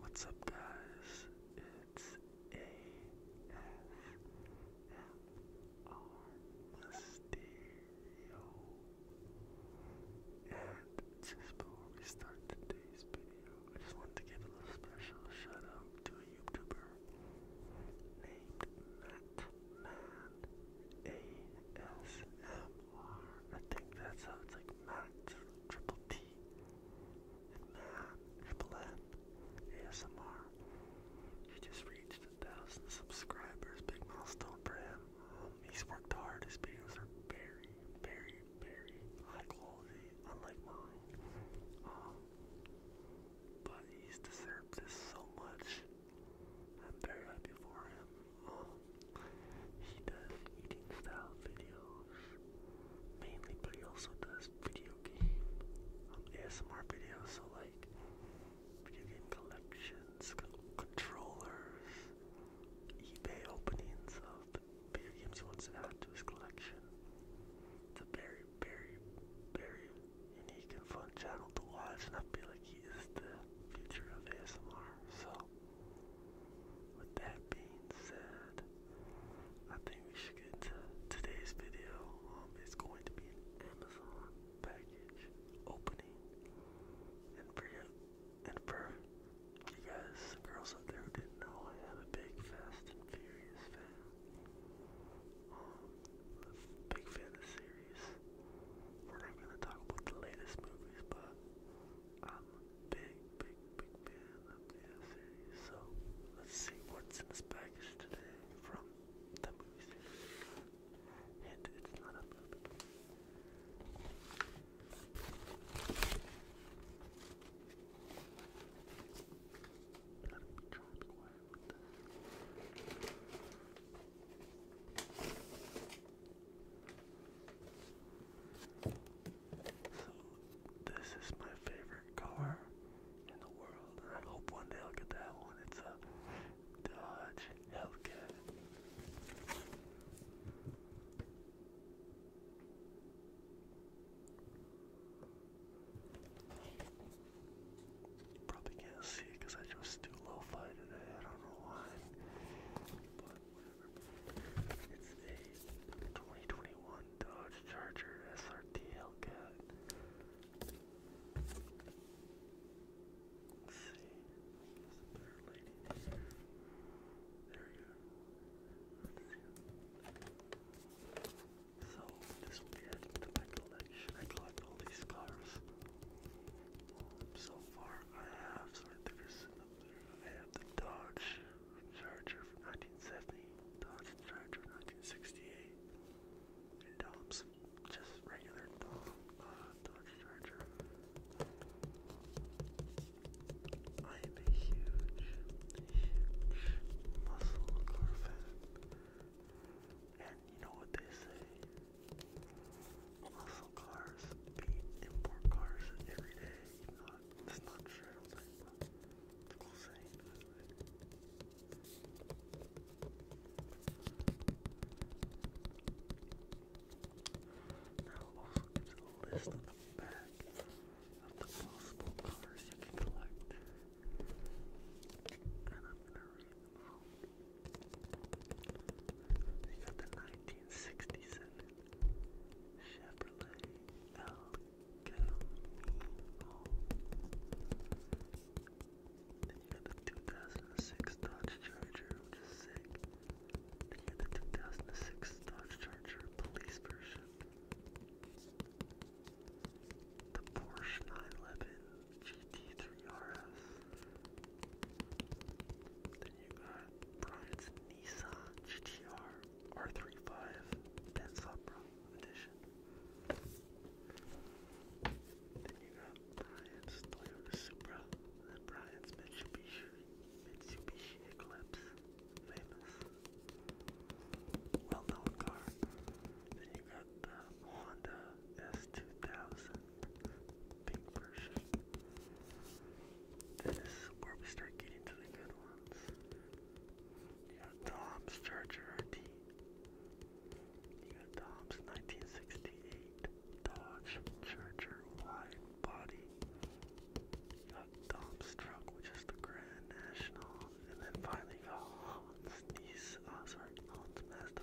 What's up, guys? It's ASMR Mysterio. And just before we start today's video, I just wanted to give a little special shout out to a YouTuber named Matt Man ASMR. I think that's how like Matt triple T and Matt ASMR. He just reached a thousand subscribers. Big milestone for him. he's worked hard. His videos are very, very, very high quality, unlike mine. Um, but he's deserved this so much. I'm very happy for him. He does eating style videos mainly, but he also does video game um, ASMR videos, so like video game collections, controllers, eBay openings of video games he wants to add to his collection. It's a very, very, very unique and fun channel to watch, and I feel like he is the future of ASMR. So. With that being said, I think we should get to today's video. Um, it's going to be an Amazon package opening, and for you, and for you guys, girls out there who didn't know, I am a big Fast and Furious fan. Um, big fan of the series. We're not gonna talk about the latest movies, but big, big, big fan the series, so let's see what's in this package today from the movie And it's not a movie. So, this is my favorite car in the world, I hope one day I'll get that one. It's a Dodge Hellcat. probably can't see because I chose too lo-fi today. I don't know why. It's a 2021 Dodge Charger SRT Hellcat. see. There's a There you go. So this will be added collection. I collect all these cars. so far, I have the Dodge Charger from 1970, Dodge Charger 1968, and just regular Dodge Charger. I am a huge, huge muscle car fan. And you know what they say, muscle cars import cars every day. Not, that's not true, it's cool saying that, right? Now it also gives list on the back of the possible cars you can collect. And I'm gonna read you got the 1967 Chevrolet El Camino. Then you got the 2006 Dodge Charger, which is sick. Then you got the 2006 Dodge Charger Police version. The Porsche 911 GT3RS. Then you got Brian's Nissan GTR R35 Ben edition. Then you got Brian's Toyota Supra, then Brian's Mitsubishi, Mitsubishi Eclipse, famous, well-known car. Then you got Honda S2000 pink version. this is where we start getting to the good ones. You got Tom's Charger RT. You got Tom's 1968 Dodge Charger Wide Body. You got Tom's truck, which is the Grand National. And then finally you got Hans Nissan, uh, Hans Mazda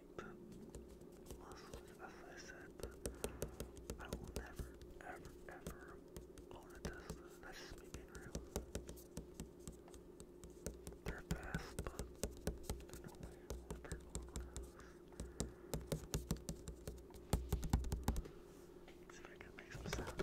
like the muscles, I said, I will never, ever, ever own a Tesla. That's just me real. They're fast, but there's no way I'll ever own one See if I can make some sound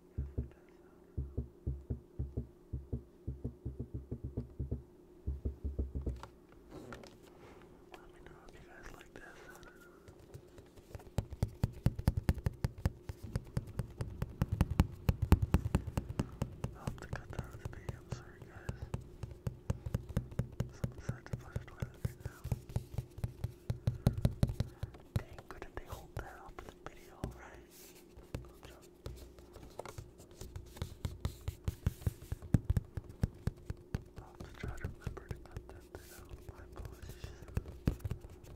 Let me know if you guys like this. i have to cut down the speed, I'm sorry guys. Someone said to flush the toilet now. Dang, couldn't they hold that up in the video, right? Gotcha. I'll have to try to remember to cut that bit out. My apologies. All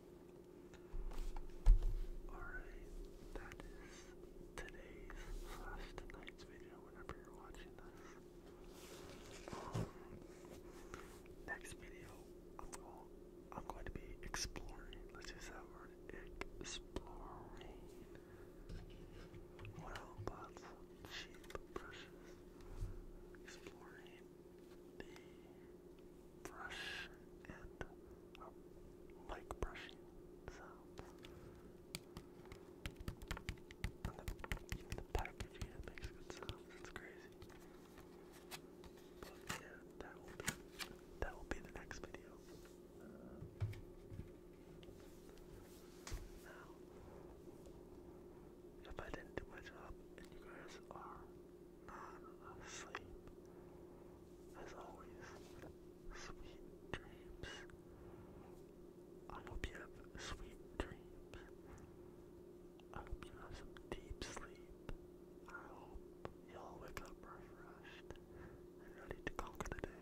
Alright, that is today's slash tonight's video whenever you're watching this. Um, next video I'm going to be exploring, let's use that word, exploring. What else? Cheap brushes. Exploring the brush and uh, like brushing sounds. And the, packaging it makes good sounds. It's crazy. yeah, that will be that will be the next video. Uh, now if I didn't do my job and you guys are not asleep, as always, sweet dreams. I hope you have sweet dreams. I hope you have some deep sleep. I hope y'all wake up refreshed and ready to conquer the day.